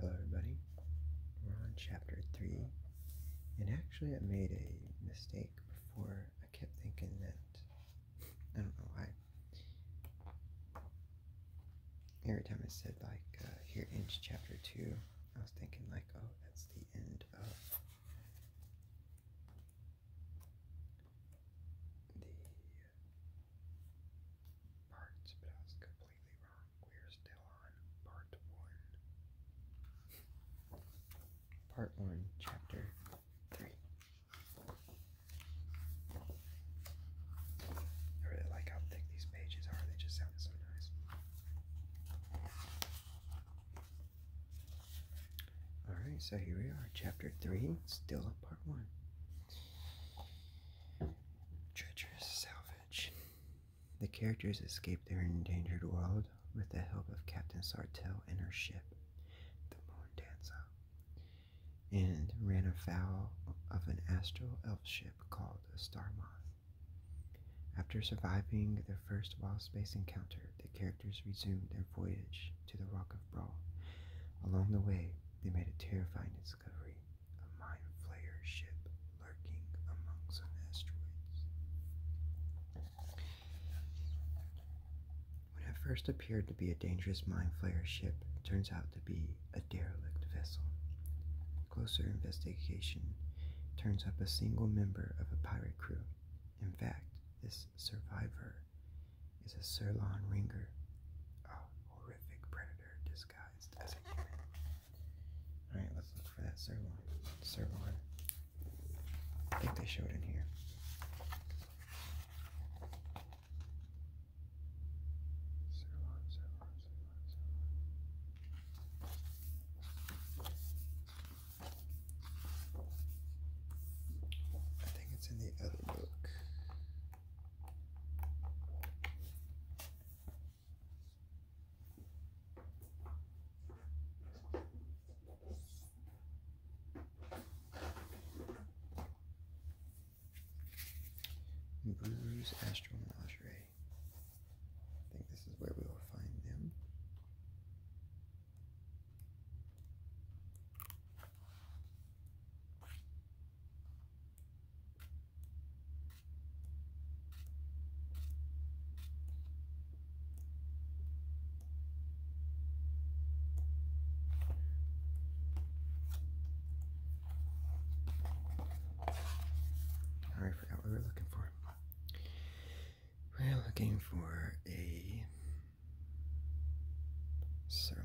Hello everybody, we're on chapter 3, and actually I made a mistake before, I kept thinking that, I don't know why, every time I said like, uh, here ends chapter 2, I was thinking like, oh, that's the end of the uh, parts, we're still on part one. Part one, chapter three. I really like how thick these pages are, they just sound so nice. Alright, so here we are, chapter three, still on part one. Treacherous salvage. The characters escape their endangered world with the help of Captain Sartell and her ship, the Moon Dancer, and ran afoul of an astral elf ship called a Starmoth. After surviving their first wild space encounter, the characters resumed their voyage to the Rock of Brawl. Along the way, they made a terrifying discovery a Mind ship lurking among asteroids. When it first appeared to be a dangerous Mind Flayer ship, turns out to be a derelict vessel. Closer investigation turns up a single member of a pirate crew. In fact, this survivor is a Sirlon Ringer, a horrific predator Alright, let's look for that sirloin. Sirloin. I think they showed it in here. Sirloin, sirloin, sirloin, sirloin. I think it's in the other book. Brewer's Astro Menagerie. I think this is where we will find them. I forgot what we were looking for. We're looking for a sirloin.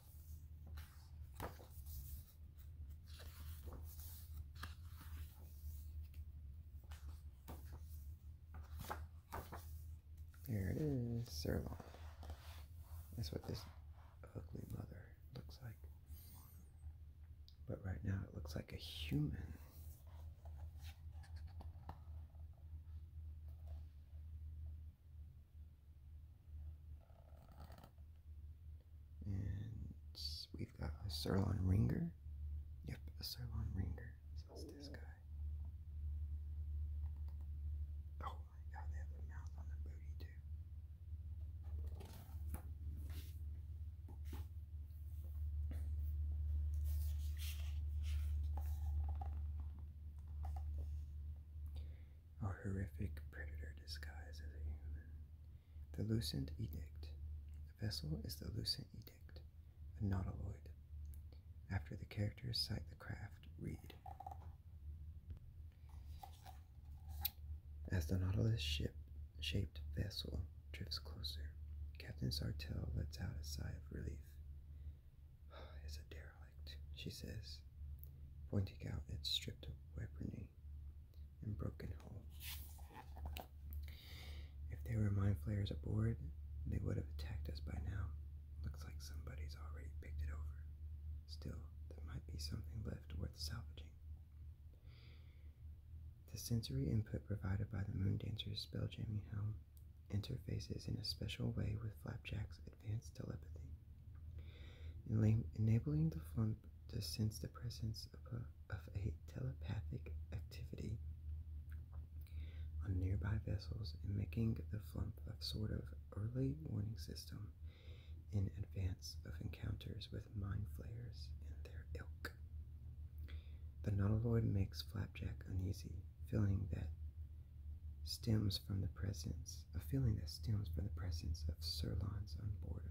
There it is, sirloin. That's what this ugly mother looks like. But right now it looks like a human. And we've got a Sirloin Ringer. Yep, a Sirloin Ringer. So it's this guy. Oh my god, they have a mouth on the booty too a horrific predator disguise as a human. The Lucent Edict. The vessel is the Lucent Edict, a nautiloid. After the characters sight the craft, read. As the Nautilus ship shaped vessel drifts closer, Captain Sartell lets out a sigh of relief. It's a derelict she says, pointing out its stripped of weaponry and broken hull. If there were mine flayers aboard, they would have attacked us by now. Looks like somebody's already picked it over. Still, there might be something left worth salvaging. The sensory input provided by the Moon Moondancer's spelljamming helm interfaces in a special way with Flapjack's advanced telepathy, enabling the flump to sense the presence of a, of a telepathic activity on nearby vessels and making the flump a sort of early warning system in advance of encounters with mind flayers and their ilk. The nautiloid makes Flapjack uneasy, feeling that stems from the presence a feeling that stems from the presence of sirloins on board of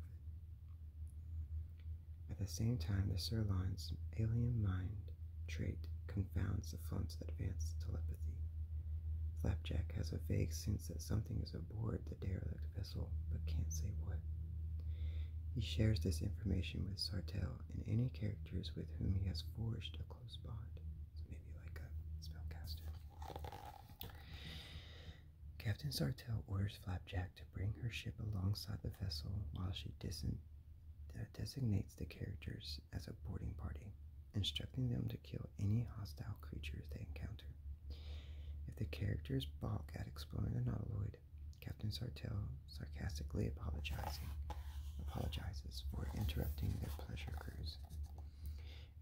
it. At the same time, the sirloin's alien mind trait confounds the flump's advanced telepathy. Flapjack has a vague sense that something is aboard the derelict vessel, but can't say what. He shares this information with Sartell and any characters with whom he has forged a close bond. maybe like a spellcaster. Captain Sartell orders Flapjack to bring her ship alongside the vessel while she uh, designates the characters as a boarding party, instructing them to kill any hostile creatures they encounter. If the characters balk at exploring the Nautiloid, Captain Sartell sarcastically apologizing apologizes for interrupting their pleasure cruise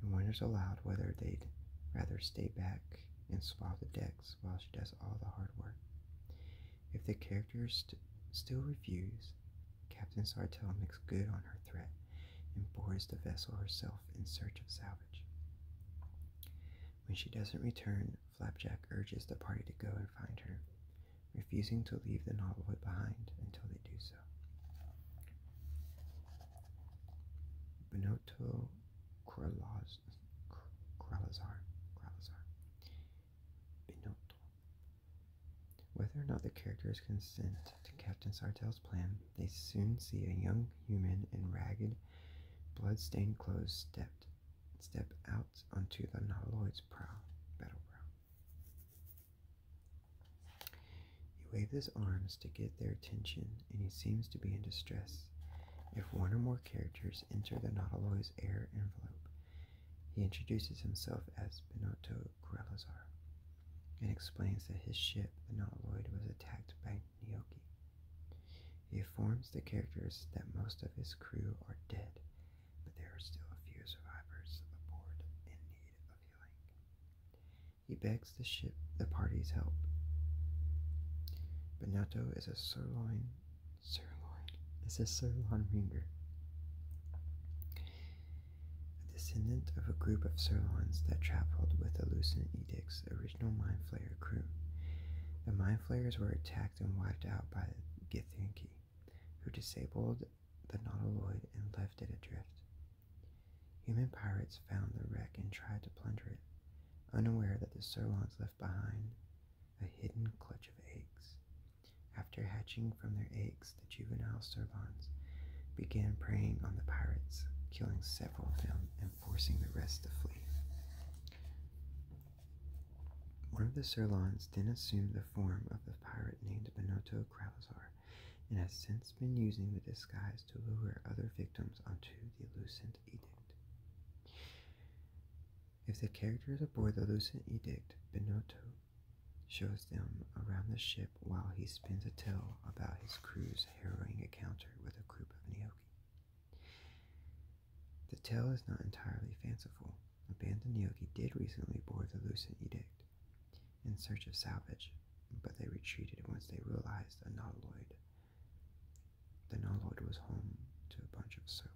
and wonders aloud whether they'd rather stay back and swab the decks while she does all the hard work. If the characters still refuse, Captain Sartell makes good on her threat and boards the vessel herself in search of salvage. When she doesn't return, Flapjack urges the party to go and find her, refusing to leave the Nautilus behind until they do Pisa. Kralazar, Kralazar, Benotto. Whether or not the characters consent to Captain Sartell's plan, they soon see a young human in ragged, blood-stained clothes stepped, step out onto the Nautiloid's prow, battle prow. He waves his arms to get their attention, and he seems to be in distress. If one or more characters enter the Nautiloid's air envelope, he introduces himself as Benotto Grelazar and explains that his ship, the Nautiloid, was attacked by Nioki. He informs the characters that most of his crew are dead, but there are still a few survivors aboard in need of healing he begs the ship the party's help. Benato is a sirloin sirloin is a sirloin ringer. A descendant of a group of sirloins that traveled with the Alucin Edict's original Mind Flayer crew. The Mind Flayers were attacked and wiped out by Githyanki, who disabled the Nautiloid and left it adrift. Human pirates found the wreck and tried to plunder it, unaware that the Sirlons left behind a hidden clutch of eggs. After hatching from their eggs, the juvenile Sirlons began preying on the pirates, killing several of them and forcing the rest to flee. One of the Sirlons then assumed the form of the pirate named Benotto Kralazar and has since been using the disguise to lure other victims onto the Lucent Edict. If the characters aboard the Lucent Edict, Benotto shows them around the ship while he spins a tale about his crew's harrowing encounter with a group of Neoki. The tale is not entirely fanciful. A band of Neoki did recently board the Lucent Edict, in search of salvage, but they retreated once they realized a nautiloid. The nautiloid was home to a bunch of sirloins.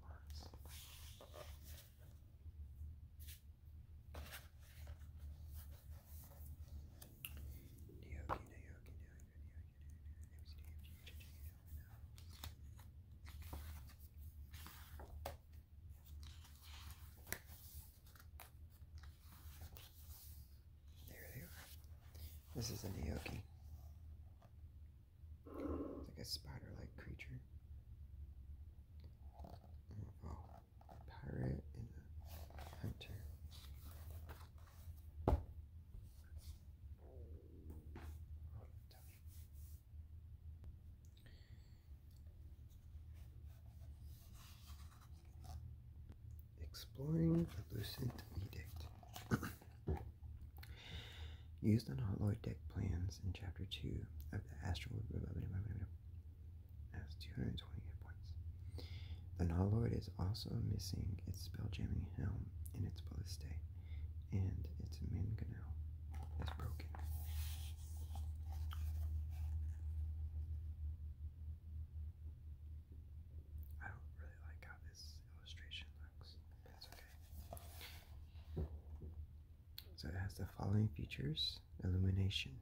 There they are. This is a Naoki. It's like a spider like creature. Oh, pirate and a hunter. Exploring the Lucent Edict. Used on Holloid deck plans in Chapter 2 of the Astral That's 220 hit points. The Nautiloid is also missing its spell jamming helm and its ballistae, and its mangonel is broken. I don't really like how this illustration looks, but it's okay. So it has the following features illumination.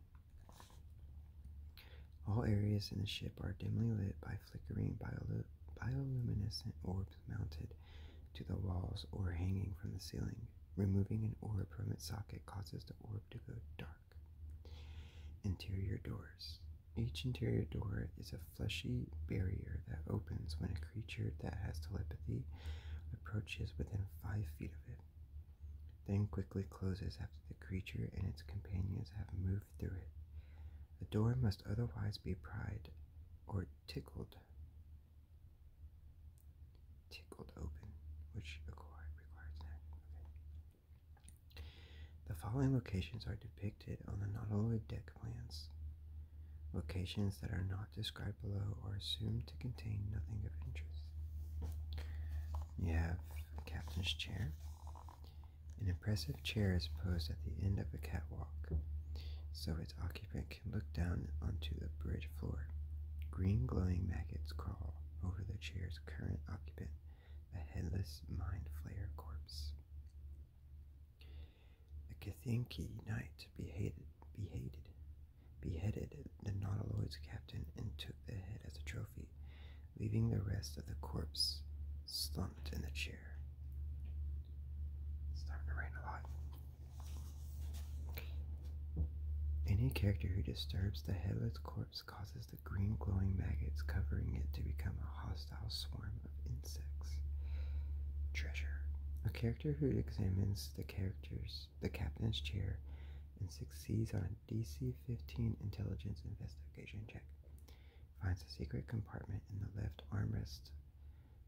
All areas in the ship are dimly lit by flickering bioluminescent orbs mounted to the walls or hanging from the ceiling. Removing an orb from its socket causes the orb to go dark. Interior doors. Each interior door is a fleshy barrier that opens when a creature that has telepathy approaches within five feet of it, then quickly closes after the creature and its companions have moved through it. The door must otherwise be pried or tickled tingle open, which requires an Okay. The following locations are depicted on the nautiloid deck plans. Locations that are not described below are assumed to contain nothing of interest. You have captain's chair. An impressive chair is posed at the end of a catwalk, so its occupant can look down onto the bridge floor. Green glowing maggots crawl over the chair's creature's current occupant, a headless mind flayer corpse. The Kathinki Knight beheaded, beheaded, beheaded the Nautiloid's captain and took the head as a trophy, leaving the rest of the corpse slumped in the chair. starting to rain a lot. Any character who disturbs the headless corpse causes the green glowing maggots covering it to become a hostile swarm of insects. Treasure. A character who examines the character's the captain's chair and succeeds on a DC 15 intelligence investigation check. Finds a secret compartment in the left armrest.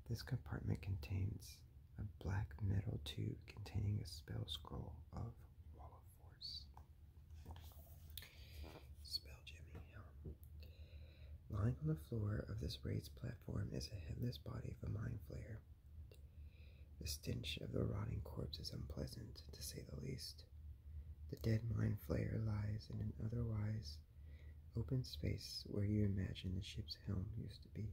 This compartment contains a black metal tube containing a spell scroll of Wall of force. Spell Jimmy. Lying on the floor of this raised platform is a headless body of a mind flayer. The stench of the rotting corpse is unpleasant, to say the least. The dead mind flayer lies in an otherwise open space where you imagine the ship's helm used to be.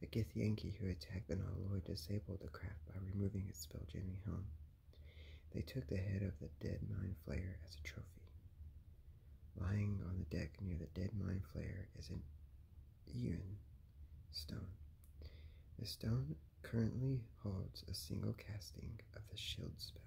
The Githyanki who attacked the Nautiloid disabled the craft by removing its spell-jamming helm. They took the head of the dead Mind Flayer as a trophy. Lying on the deck near the dead Mind Flayer is an Ewan stone. The stone currently holds a single casting of the shield spell.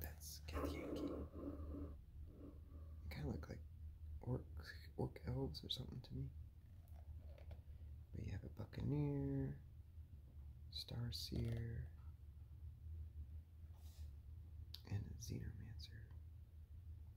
That's Katyuki. They kind of look like orc, orc elves or something to me. But you have a buccaneer, Star Seer, and a xenomancer.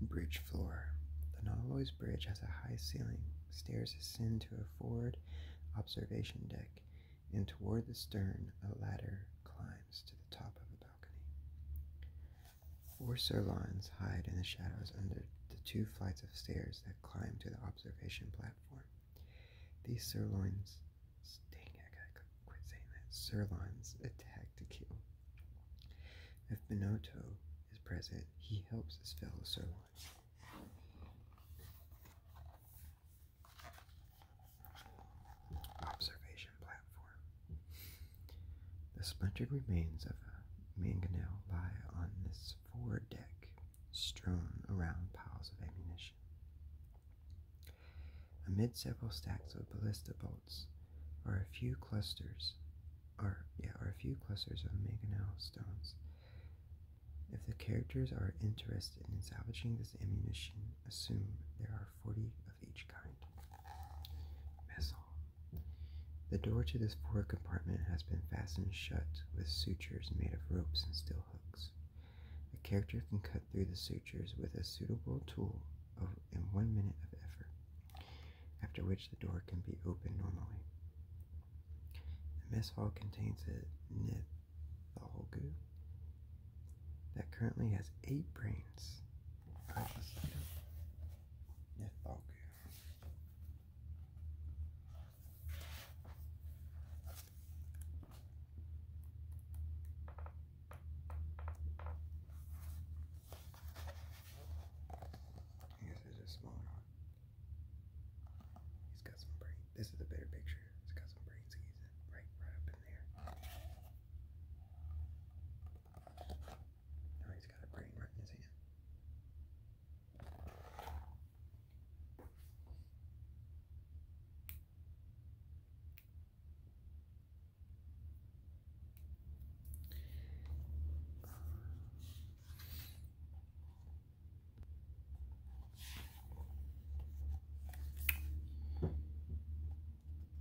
Bridge floor. The Nautilus Bridge has a high ceiling. Stairs ascend to a forward observation deck, and toward the stern, a ladder climbs to the top of a balcony. Four sirloins hide in the shadows under the two flights of stairs that climb to the observation platform. These sirloins Dang it, I gotta quit saying that. Sirlon's attack to kill. If Benotto is present, he helps his fellow Sirlons. Observation platform. The splintered remains of a mangonel lie on this forward deck, strewn around piles of ammunition. Amid several stacks of ballista bolts are a few clusters are yeah are a few clusters of manganel stones. If the characters are interested in salvaging this ammunition, assume there are forty of each kind. Missile. The door to this forward compartment has been fastened shut with sutures made of ropes and steel hooks. A character can cut through the sutures with a suitable tool out in one minute of effort, after which the door can be opened normally. The mess hall contains a Nithologu that currently has eight brains. I guess there's He's got some brains. This is a better picture. It's got some brains. He's right, right up in there. Now he's got a brain right in his hand.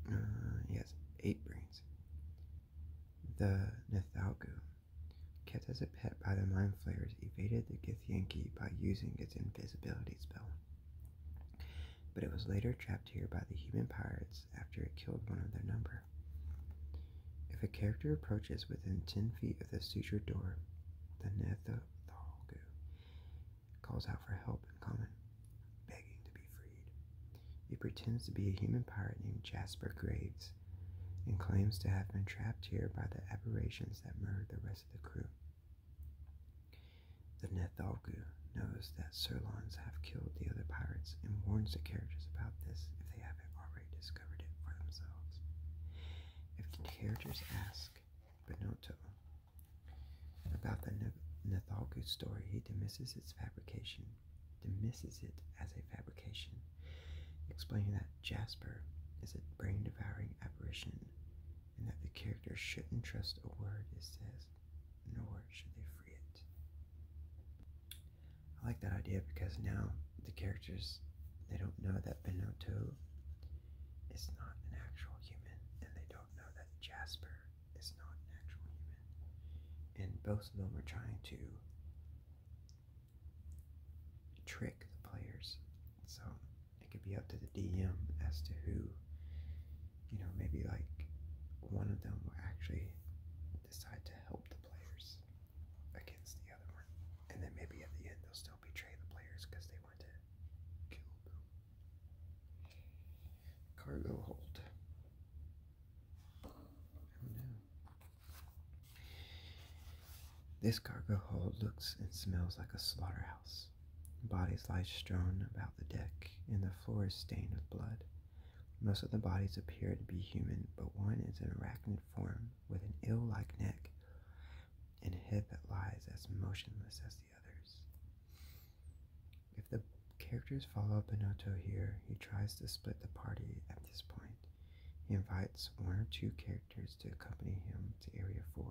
Uh, yes, eight brains. The Nathalgu, kept as a pet by the Mind Flayers, evaded the Githyanki by using its invisibility spell but it was later trapped here by the human pirates after it killed one of their number. If a character approaches within 10 feet of the suture door, the Netherthalgu calls out for help and common, begging to be freed. He pretends to be a human pirate named Jasper Graves and claims to have been trapped here by the aberrations that murdered the rest of the crew. The Nethalgu knows that Sirlons have killed the other pirates and warns the characters about this if they haven't already discovered it for themselves. If the characters ask Benotto about the Nethalgu story, he dismisses its fabrication, dismisses it as a fabrication, explaining that Jasper is a brain-devouring apparition and that the characters shouldn't trust a word it says nor should they free it. I like that idea because now the characters they don't know that Benotto is not an actual human, and they don't know that Jasper is not an actual human. And both of them are trying to trick the players. So it could be up to the DM as to who, you know, maybe like one of them will actually decide to help the players against the other one. And then maybe at the end they'll still betray the players because they want to kill Cargo hold. This cargo hold looks and smells like a slaughterhouse Bodies lie strewn about the deck, and the floor is stained with blood. Most of the bodies appear to be human, but one is an arachnid form with an ill like neck and a head that lies as motionless as the others. If the characters follow Benotto here, he tries to split the party at this point. He invites one or two characters to accompany him to Area 4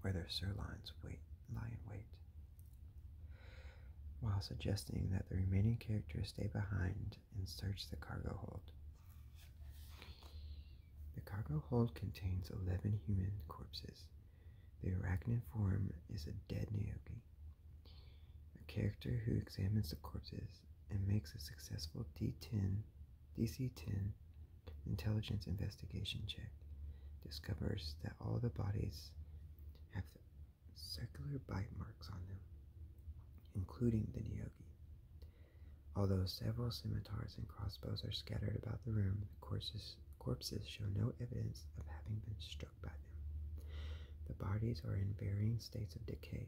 where their sirloins wait, lie in wait. While suggesting that the remaining characters stay behind and search the cargo hold. The cargo hold contains 11 human corpses. The arachnid form is a dead Naoki, a character who examines the corpses and makes a successful D10, DC 10 intelligence investigation check discovers that all the bodies have circular bite marks on them, including the Nyogi. Although several scimitars and crossbows are scattered about the room, the corpses, corpses show no evidence of having been struck by them. The bodies are in varying states of decay.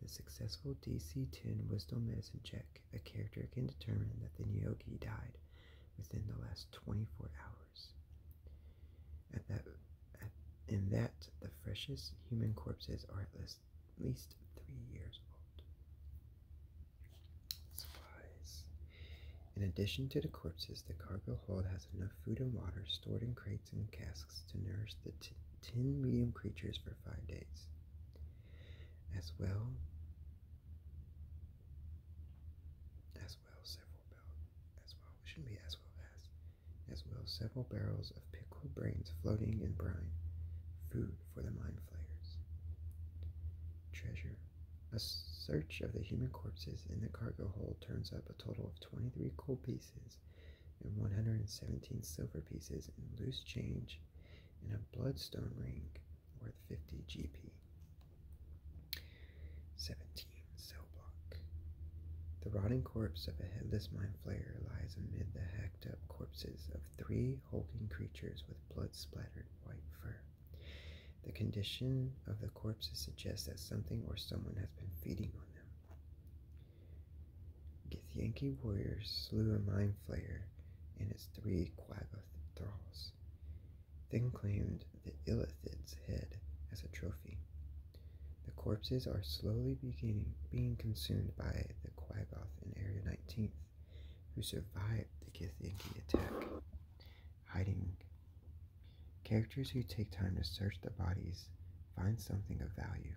With a successful DC 10 Wisdom Medicine check, a character can determine that the Nyoki died within the last 24 hours. At that, in that, the freshest human corpses are at least, three years old. Supplies. In addition to the corpses, the cargo hold has enough food and water stored in crates and casks to nourish the 10 medium creatures for five days. As well as well several barrels as well it shouldn't be as well as as well several barrels of pickled brains floating in brine food for the mind flayers treasure a search of the human corpses in the cargo hold turns up a total of 23 gold pieces and 117 silver pieces in loose change and a bloodstone ring worth 50 GP. 17. Cell block. The rotting corpse of a headless mind flayer lies amid the hacked up corpses of three hulking creatures with blood splattered white fur. The condition of the corpses suggests that something or someone has been feeding on them. Githyanki warriors slew a mind flayer and its three Quagga thralls. Greeks, then claimed the Illithid's head as a trophy. The corpses are slowly beginning, being consumed by the Quagoth in Area 19, who survived the Githyanki attack. Hiding. Characters who take time to search the bodies find something of value.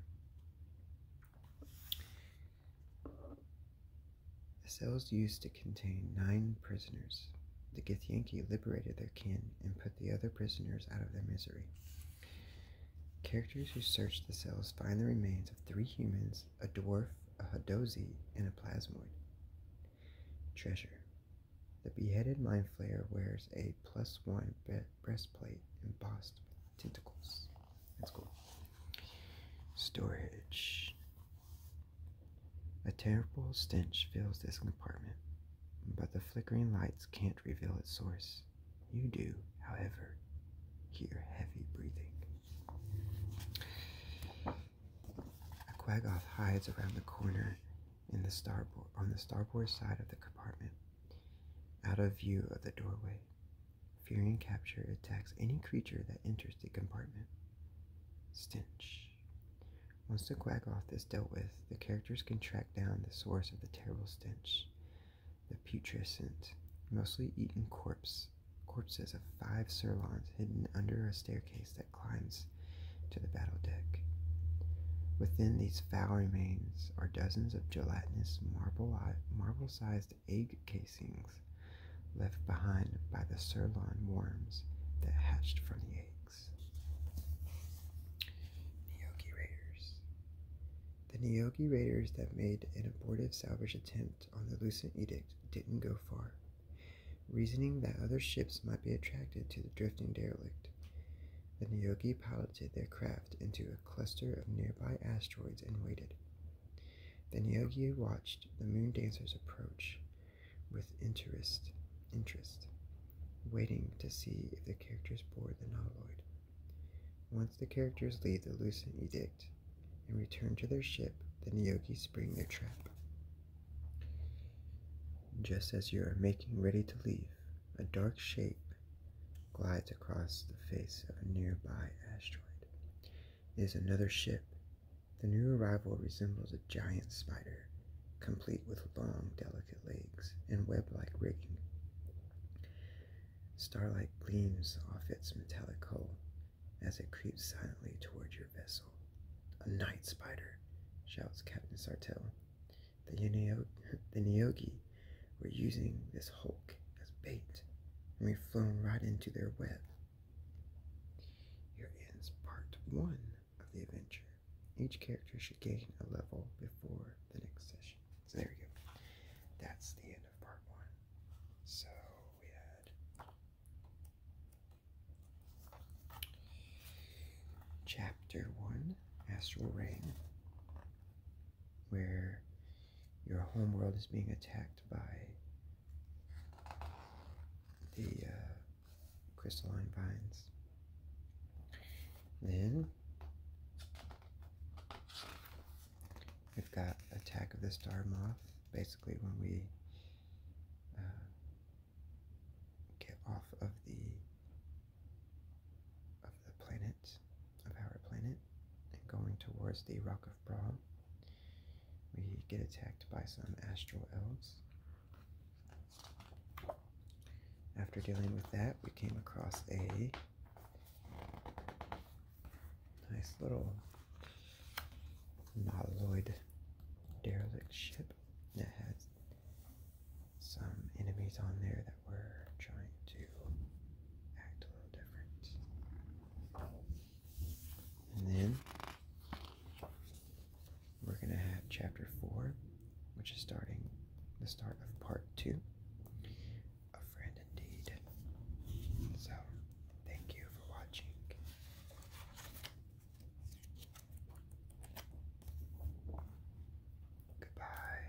The cells used to contain nine prisoners. The Githyanki liberated their kin and put the other prisoners out of their misery. Characters who search the cells find the remains of three humans, a dwarf, a Hadozi, and a plasmoid. Treasure. The beheaded mind flayer wears a plus one breastplate embossed with tentacles. That's cool. Storage. A terrible stench fills this compartment, but the flickering lights can't reveal its source. You do, however, hear heavy breathing. A quaggoth hides around the corner in the starboard on the starboard side of the compartment, out of view of the doorway. Fearing capture, attacks any creature that enters the compartment. Stench. Once the Quaggoth is dealt with, the characters can track down the source of the terrible stench. The putrescent, mostly eaten corpse, corpses of five Sirlons hidden under a staircase that climbs to the battle deck. Within these foul remains are dozens of gelatinous marble-sized marble sized egg casings left behind by the sirloin worms that hatched from the eggs. Nyogi Raiders. The Nyogi Raiders that made an abortive salvage attempt on the Lucent Edict didn't go far, reasoning that other ships might be attracted to the drifting derelict. The Nyogi piloted their craft into a cluster of nearby asteroids and waited. Then Yogi watched the moon dancers approach with interest, interest, waiting to see if the characters board the Nautiloid. Once the characters leave the Lucent Edict and return to their ship, the Niyogi spring their trap. Just as you are making ready to leave, a dark shape glides across the face of a nearby asteroid is another ship. The new arrival resembles a giant spider, complete with long, delicate legs and web like rigging. Starlight gleams off its metallic hull as it creeps silently toward your vessel. A night spider, shouts Captain Sartell. The, Neo the Nyogi were using this hulk as bait, and we've flown right into their web. Here ends part one of the adventure. Each character should gain a level before the next session. So there we go. That's the end of part one. So we had chapter one, Astral Rain, where your home world is being attacked by the uh, crystalline vines. Then we've got Attack of the Star Moth. Basically, when we uh, get off of the of the planet of our planet and going towards the Rock of Brahm, we get attacked by some astral elves. After dealing with that, we came across a nice little Nautiloid derelict ship that had some enemies on there that were trying to act a little different. And then we're going to have chapter 4, which is starting the start of part 2 A Friend Indeed. So, thank you for watching. Goodbye.